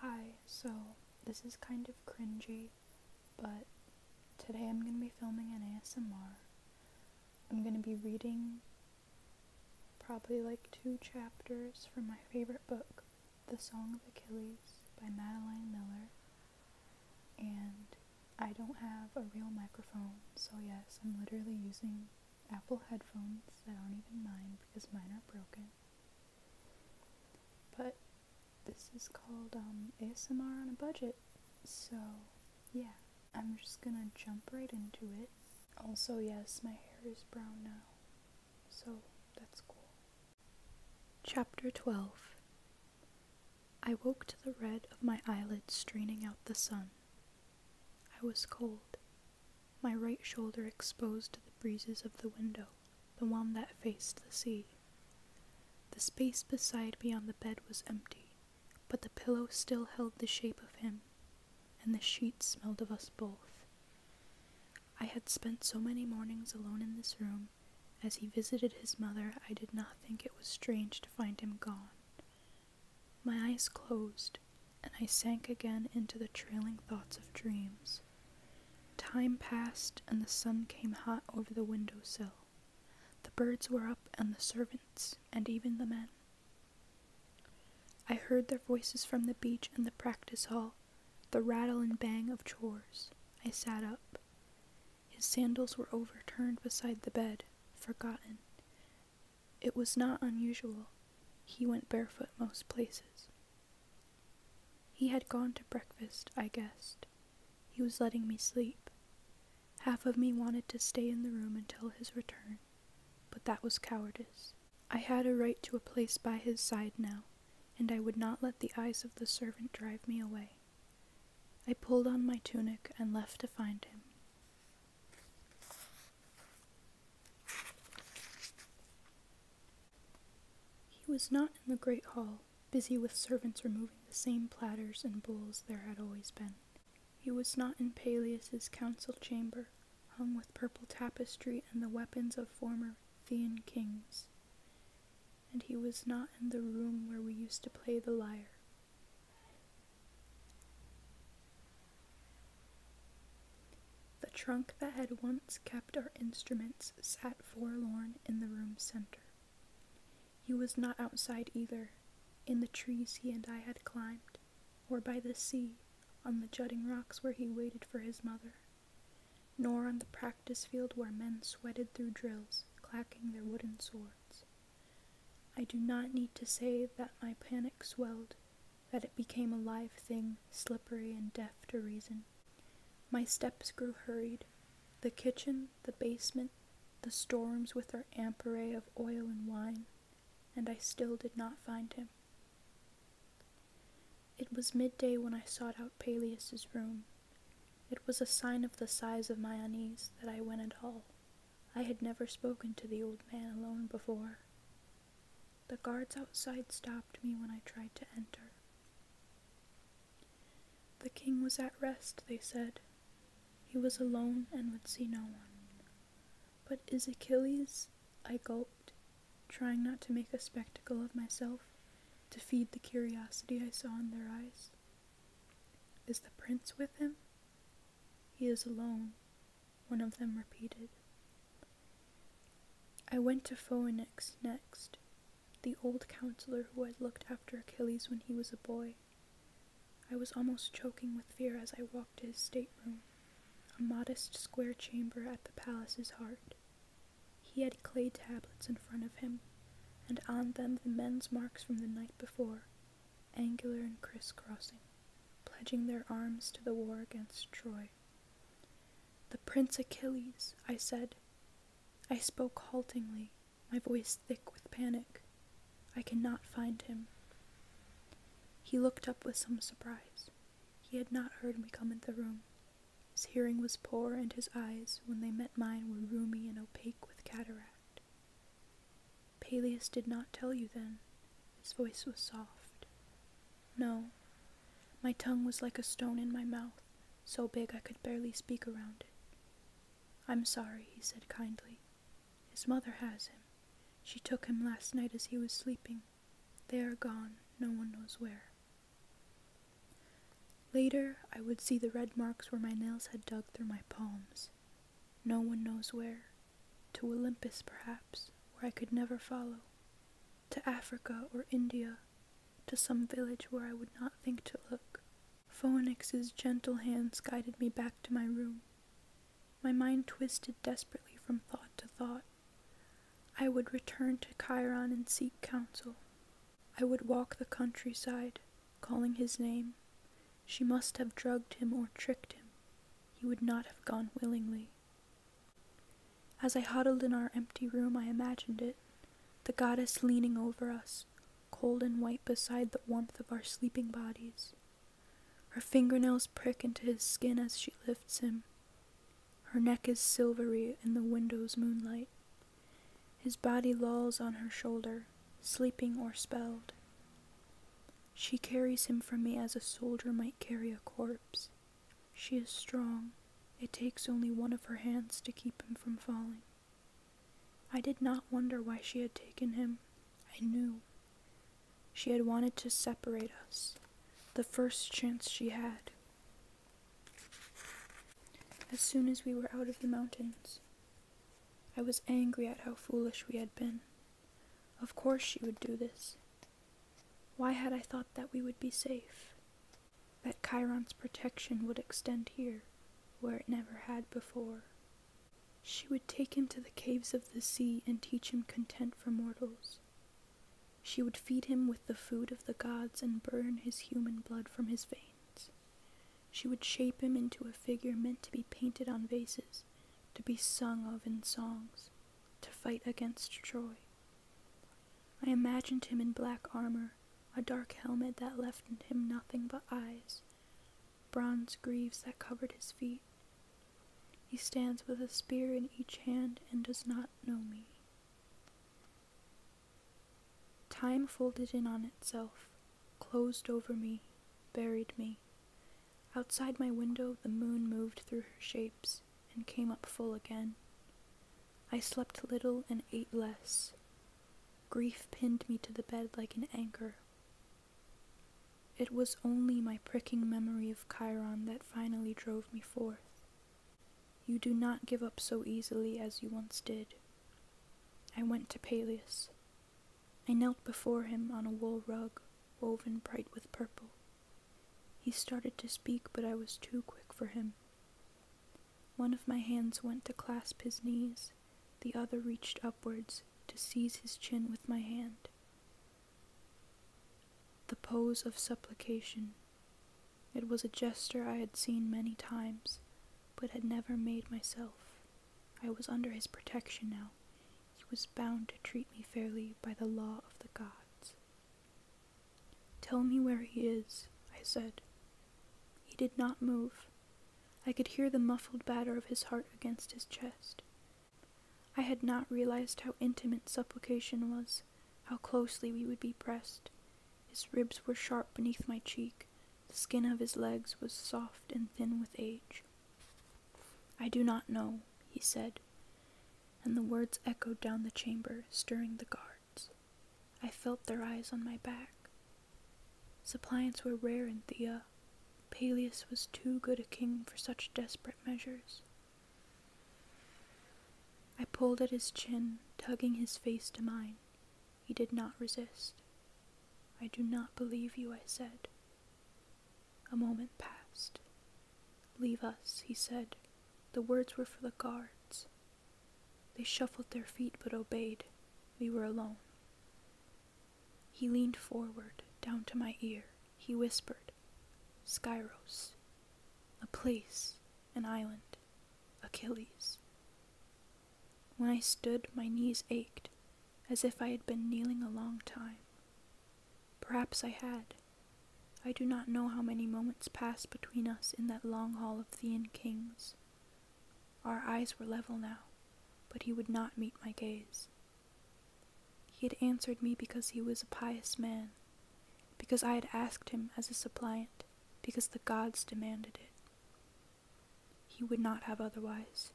Hi, so this is kind of cringy, but today I'm going to be filming an ASMR. I'm going to be reading probably like two chapters from my favorite book, The Song of Achilles by Madeline Miller. And I don't have a real microphone, so yes, I'm literally using Apple headphones that aren't even mine because mine are broken. But this is called um, ASMR on a budget, so yeah, I'm just gonna jump right into it. Also, yes, my hair is brown now, so that's cool. Chapter 12 I woke to the red of my eyelids straining out the sun. I was cold, my right shoulder exposed to the breezes of the window, the one that faced the sea. The space beside me on the bed was empty, but the pillow still held the shape of him, and the sheets smelled of us both. I had spent so many mornings alone in this room. As he visited his mother, I did not think it was strange to find him gone. My eyes closed, and I sank again into the trailing thoughts of dreams. Time passed, and the sun came hot over the window sill. The birds were up, and the servants, and even the men. I heard their voices from the beach and the practice hall, the rattle and bang of chores. I sat up. His sandals were overturned beside the bed, forgotten. It was not unusual. He went barefoot most places. He had gone to breakfast, I guessed. He was letting me sleep. Half of me wanted to stay in the room until his return, but that was cowardice. I had a right to a place by his side now, and I would not let the eyes of the servant drive me away. I pulled on my tunic and left to find him. He was not in the great hall, busy with servants removing the same platters and bowls there had always been. He was not in Peleus's council chamber, hung with purple tapestry and the weapons of former Thean kings. And he was not in the room where we used to play the lyre. The trunk that had once kept our instruments sat forlorn in the room's center. He was not outside either, in the trees he and I had climbed, or by the sea, on the jutting rocks where he waited for his mother, nor on the practice field where men sweated through drills, clacking their wooden swords. I do not need to say that my panic swelled that it became a live thing, slippery and deaf to reason. My steps grew hurried. The kitchen, the basement, the storms with their amperay of oil and wine, and I still did not find him. It was midday when I sought out Peleus's room. It was a sign of the size of my unease that I went at all. I had never spoken to the old man alone before. The guards outside stopped me when I tried to enter. The king was at rest, they said. He was alone and would see no one. But is Achilles? I gulped, trying not to make a spectacle of myself, to feed the curiosity I saw in their eyes. Is the prince with him? He is alone, one of them repeated. I went to Phoenix next, the old counselor who had looked after Achilles when he was a boy. I was almost choking with fear as I walked to his stateroom, a modest square chamber at the palace's heart. He had clay tablets in front of him, and on them the men's marks from the night before, angular and crisscrossing pledging their arms to the war against Troy. The Prince Achilles, I said. I spoke haltingly, my voice thick with panic. I cannot find him. He looked up with some surprise. He had not heard me come into the room. His hearing was poor, and his eyes, when they met mine, were roomy and opaque with cataract. Peleus did not tell you then, his voice was soft. No. My tongue was like a stone in my mouth, so big I could barely speak around it. I'm sorry, he said kindly. His mother has him. She took him last night as he was sleeping. They are gone, no one knows where. Later, I would see the red marks where my nails had dug through my palms. No one knows where, to Olympus perhaps, where I could never follow, to Africa or India, to some village where I would not think to look. Phoenix's gentle hands guided me back to my room. My mind twisted desperately from thought to thought. I would return to Chiron and seek counsel. I would walk the countryside, calling his name. She must have drugged him or tricked him. He would not have gone willingly. As I huddled in our empty room, I imagined it the goddess leaning over us, cold and white beside the warmth of our sleeping bodies. Her fingernails prick into his skin as she lifts him. Her neck is silvery in the window's moonlight. His body lolls on her shoulder, sleeping or spelled. She carries him from me as a soldier might carry a corpse. She is strong. It takes only one of her hands to keep him from falling. I did not wonder why she had taken him. I knew. She had wanted to separate us, the first chance she had. As soon as we were out of the mountains, I was angry at how foolish we had been. Of course she would do this. Why had I thought that we would be safe? That Chiron's protection would extend here, where it never had before. She would take him to the caves of the sea and teach him content for mortals. She would feed him with the food of the gods and burn his human blood from his veins. She would shape him into a figure meant to be painted on vases, to be sung of in songs, to fight against Troy. I imagined him in black armor, a dark helmet that left him nothing but eyes, bronze greaves that covered his feet. He stands with a spear in each hand and does not know me. Time folded in on itself, closed over me, buried me. Outside my window, the moon moved through her shapes and came up full again. I slept little and ate less. Grief pinned me to the bed like an anchor. It was only my pricking memory of Chiron that finally drove me forth. You do not give up so easily as you once did. I went to Pelias. I knelt before him on a wool rug woven bright with purple. He started to speak, but I was too quick for him. One of my hands went to clasp his knees, the other reached upwards to seize his chin with my hand. The pose of supplication. It was a gesture I had seen many times, but had never made myself. I was under his protection now. He was bound to treat me fairly by the law of the gods. Tell me where he is, I said. He did not move. I could hear the muffled batter of his heart against his chest. I had not realized how intimate supplication was, how closely we would be pressed. His ribs were sharp beneath my cheek. The skin of his legs was soft and thin with age. I do not know, he said, and the words echoed down the chamber, stirring the guards. I felt their eyes on my back. Suppliants were rare in Thea. Peleus was too good a king for such desperate measures. I pulled at his chin, tugging his face to mine. He did not resist. I do not believe you, I said. A moment passed. Leave us, he said. The words were for the guards. They shuffled their feet but obeyed. We were alone. He leaned forward, down to my ear. He whispered, Skyros. A place, an island, Achilles. When I stood, my knees ached as if I had been kneeling a long time. Perhaps I had. I do not know how many moments passed between us in that long hall of the Kings. Our eyes were level now, but he would not meet my gaze. He had answered me because he was a pious man, because I had asked him as a suppliant, because the gods demanded it. He would not have otherwise.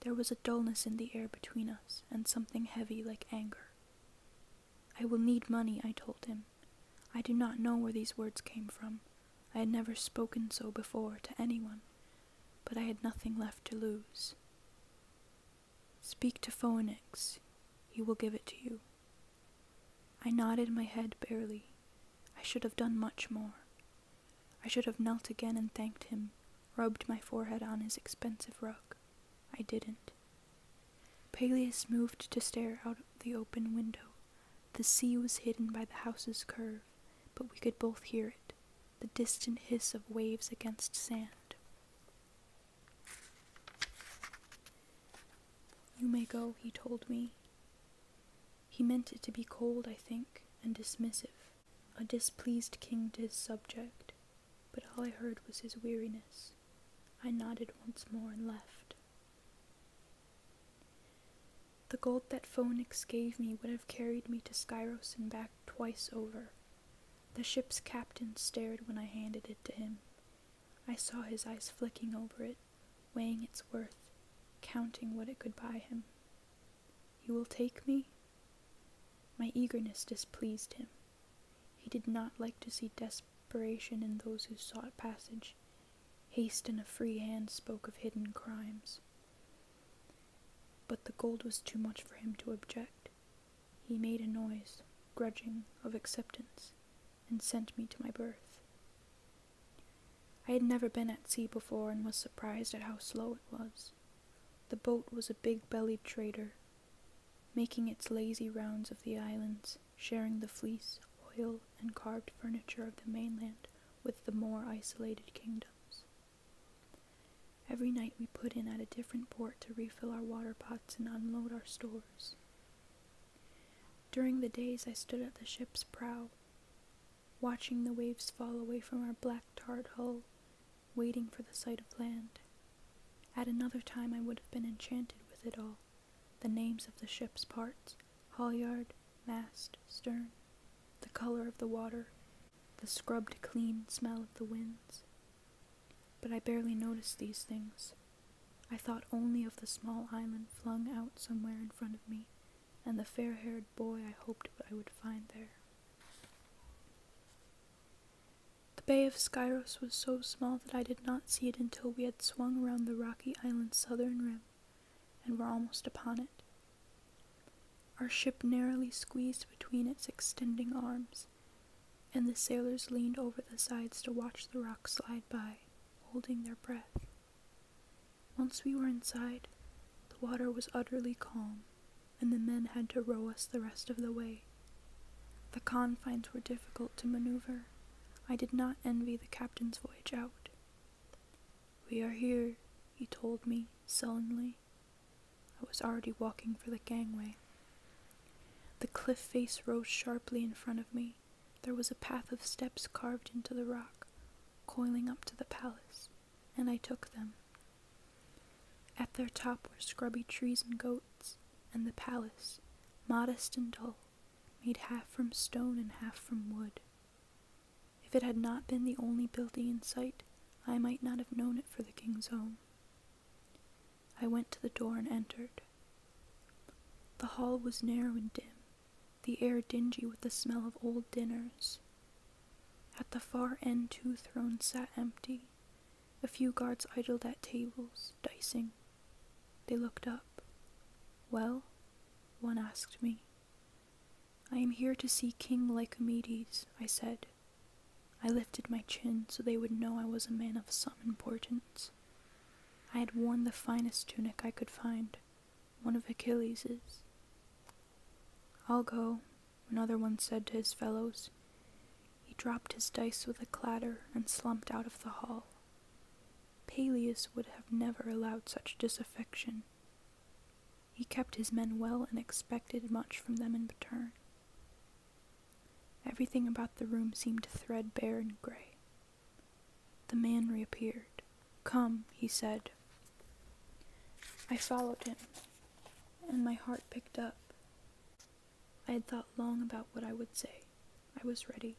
There was a dulness in the air between us, and something heavy like anger. I will need money, I told him. I do not know where these words came from. I had never spoken so before to anyone, but I had nothing left to lose. Speak to Phoenix. He will give it to you. I nodded my head barely. I should have done much more. I should have knelt again and thanked him, rubbed my forehead on his expensive rug. I didn't. Peleus moved to stare out the open window. The sea was hidden by the house's curve, but we could both hear it the distant hiss of waves against sand. You may go, he told me. He meant it to be cold, I think, and dismissive. A displeased king to his subject, but all I heard was his weariness. I nodded once more and left. The gold that Phoenix gave me would have carried me to Skyros and back twice over. The ship's captain stared when I handed it to him. I saw his eyes flicking over it, weighing its worth, counting what it could buy him. You will take me? My eagerness displeased him. He did not like to see desperation in those who sought passage. Haste and a free hand spoke of hidden crimes. But the gold was too much for him to object. He made a noise, grudging, of acceptance, and sent me to my berth. I had never been at sea before and was surprised at how slow it was. The boat was a big bellied trader, making its lazy rounds of the islands, sharing the fleece, oil, and carved furniture of the mainland with the more isolated kingdoms. Every night we put in at a different port to refill our water pots and unload our stores. During the days I stood at the ship's prow, watching the waves fall away from our black tarred hull, waiting for the sight of land. At another time I would have been enchanted with it all, the names of the ship's parts, halyard, mast, stern, the color of the water, the scrubbed clean smell of the winds. But I barely noticed these things. I thought only of the small island flung out somewhere in front of me, and the fair haired boy I hoped I would find there. The bay of Skyros was so small that I did not see it until we had swung round the rocky island's southern rim and were almost upon it. Our ship narrowly squeezed between its extending arms, and the sailors leaned over the sides to watch the rocks slide by, holding their breath. Once we were inside, the water was utterly calm, and the men had to row us the rest of the way. The confines were difficult to maneuver. I did not envy the captain's voyage out. We are here, he told me sullenly. I was already walking for the gangway. The cliff face rose sharply in front of me. There was a path of steps carved into the rock, coiling up to the palace and I took them. At their top were scrubby trees and goats, and the palace, modest and dull, made half from stone and half from wood. If it had not been the only building in sight, I might not have known it for the king's home. I went to the door and entered. The hall was narrow and dim, the air dingy with the smell of old dinners. At the far end, two thrones sat empty. A few guards idled at tables, dicing. They looked up. Well? One asked me. I am here to see King Lycomedes, I said. I lifted my chin so they would know I was a man of some importance. I had worn the finest tunic I could find, one of Achilles's. I'll go, another one said to his fellows. He dropped his dice with a clatter and slumped out of the hall. Peleus would have never allowed such disaffection. He kept his men well and expected much from them in return. Everything about the room seemed threadbare and gray. The man reappeared. Come, he said. I followed him, and my heart picked up. I had thought long about what I would say. I was ready.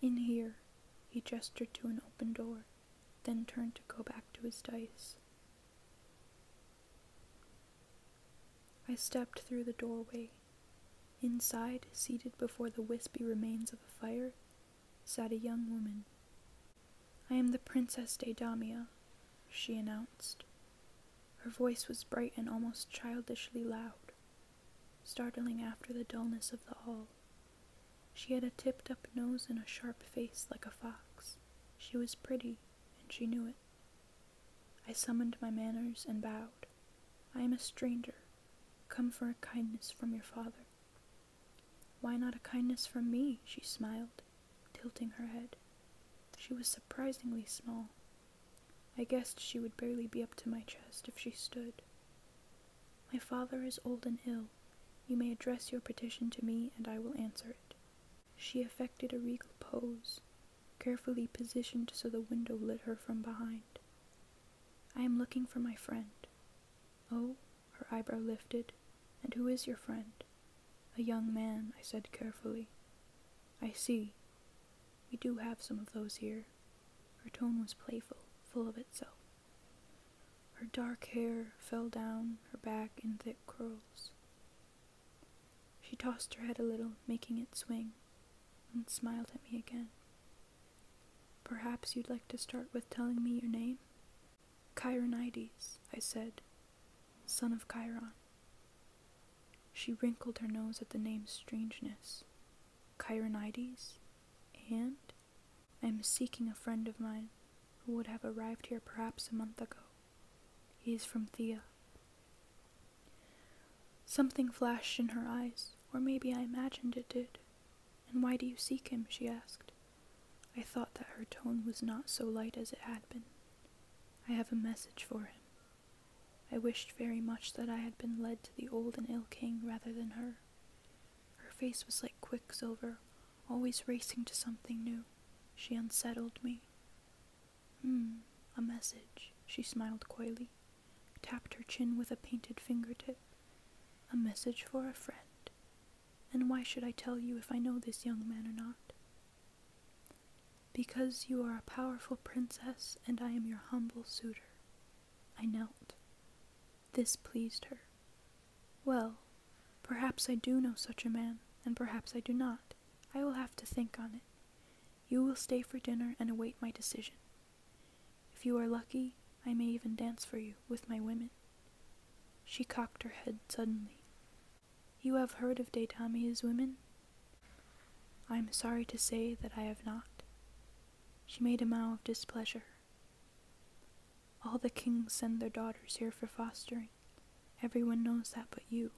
In here, he gestured to an open door, then turned to go back to his dice. I stepped through the doorway. Inside, seated before the wispy remains of a fire, Said a young woman. I am the Princess Daedamia, she announced. Her voice was bright and almost childishly loud, startling after the dullness of the hall. She had a tipped up nose and a sharp face like a fox. She was pretty, and she knew it. I summoned my manners and bowed. I am a stranger, come for a kindness from your father. Why not a kindness from me? she smiled, tilting her head. She was surprisingly small. I guessed she would barely be up to my chest if she stood. My father is old and ill. You may address your petition to me, and I will answer it. She affected a regal pose, carefully positioned so the window lit her from behind. I am looking for my friend, Oh, her eyebrow lifted. And who is your friend? A young man, I said carefully. I see. We do have some of those here. Her tone was playful, full of itself. Her dark hair fell down her back in thick curls. She tossed her head a little, making it swing, and smiled at me again. Perhaps you'd like to start with telling me your name? Chironides, I said, son of Chiron. She wrinkled her nose at the name's strangeness. Chironides? And? I am seeking a friend of mine who would have arrived here perhaps a month ago. He is from Thea. Something flashed in her eyes, or maybe I imagined it did. And why do you seek him? she asked. I thought that her tone was not so light as it had been. I have a message for him. I wished very much that I had been led to the old and ill king rather than her. Her face was like quicksilver, always racing to something new. She unsettled me. Hmm, a message, she smiled coyly tapped her chin with a painted fingertip. A message for a friend. And why should I tell you if I know this young man or not? Because you are a powerful princess and I am your humble suitor. I knelt. This pleased her. Well, perhaps I do know such a man, and perhaps I do not. I will have to think on it. You will stay for dinner and await my decision. If you are lucky, I may even dance for you with my women. She cocked her head suddenly. You have heard of Deitamiya's women? I am sorry to say that I have not. She made a moue of displeasure. All the kings send their daughters here for fostering. Every one knows that but you.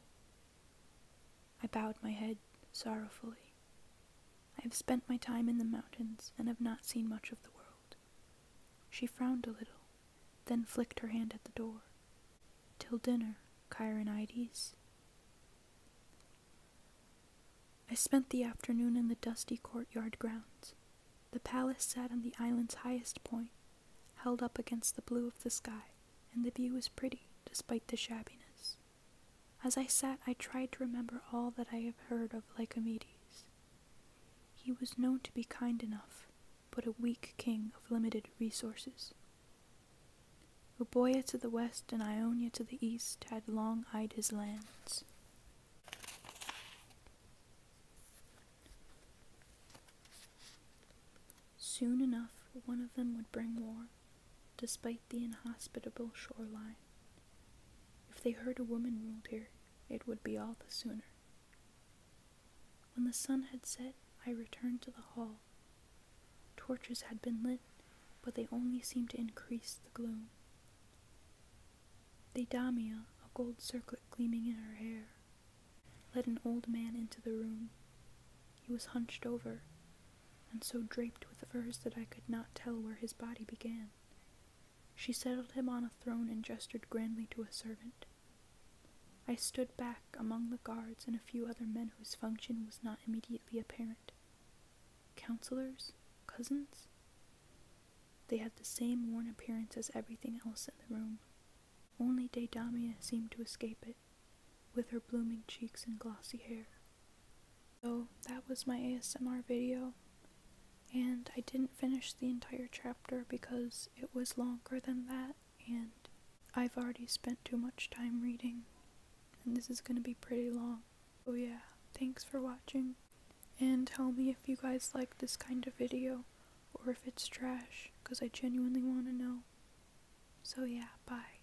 I bowed my head sorrowfully. I have spent my time in the mountains and have not seen much of the world. She frowned a little, then flicked her hand at the door. Till dinner, Chironides. I spent the afternoon in the dusty courtyard grounds. The palace sat on the island's highest point, held up against the blue of the sky, and the view was pretty despite the shabbiness. As I sat, I tried to remember all that I have heard of Lycomedes. He was known to be kind enough, but a weak king of limited resources. Euboea to the west and Ionia to the east had long eyed his lands. Soon enough, one of them would bring war, despite the inhospitable shoreline. If they heard a woman ruled here, it would be all the sooner. When the sun had set, I returned to the hall. Torches had been lit, but they only seemed to increase the gloom. The damia, a gold circlet gleaming in her hair, led an old man into the room. He was hunched over, and so draped with furs that I could not tell where his body began. She settled him on a throne and gestured grandly to a servant. I stood back among the guards and a few other men whose function was not immediately apparent. Counselors? Cousins? They had the same worn appearance as everything else in the room. Only Deidamia seemed to escape it, with her blooming cheeks and glossy hair. So that was my ASMR video, and I didn't finish the entire chapter because it was longer than that, and I've already spent too much time reading, and this is gonna be pretty long. So yeah, thanks for watching, and tell me if you guys like this kind of video, or if it's trash, because I genuinely want to know. So yeah, bye.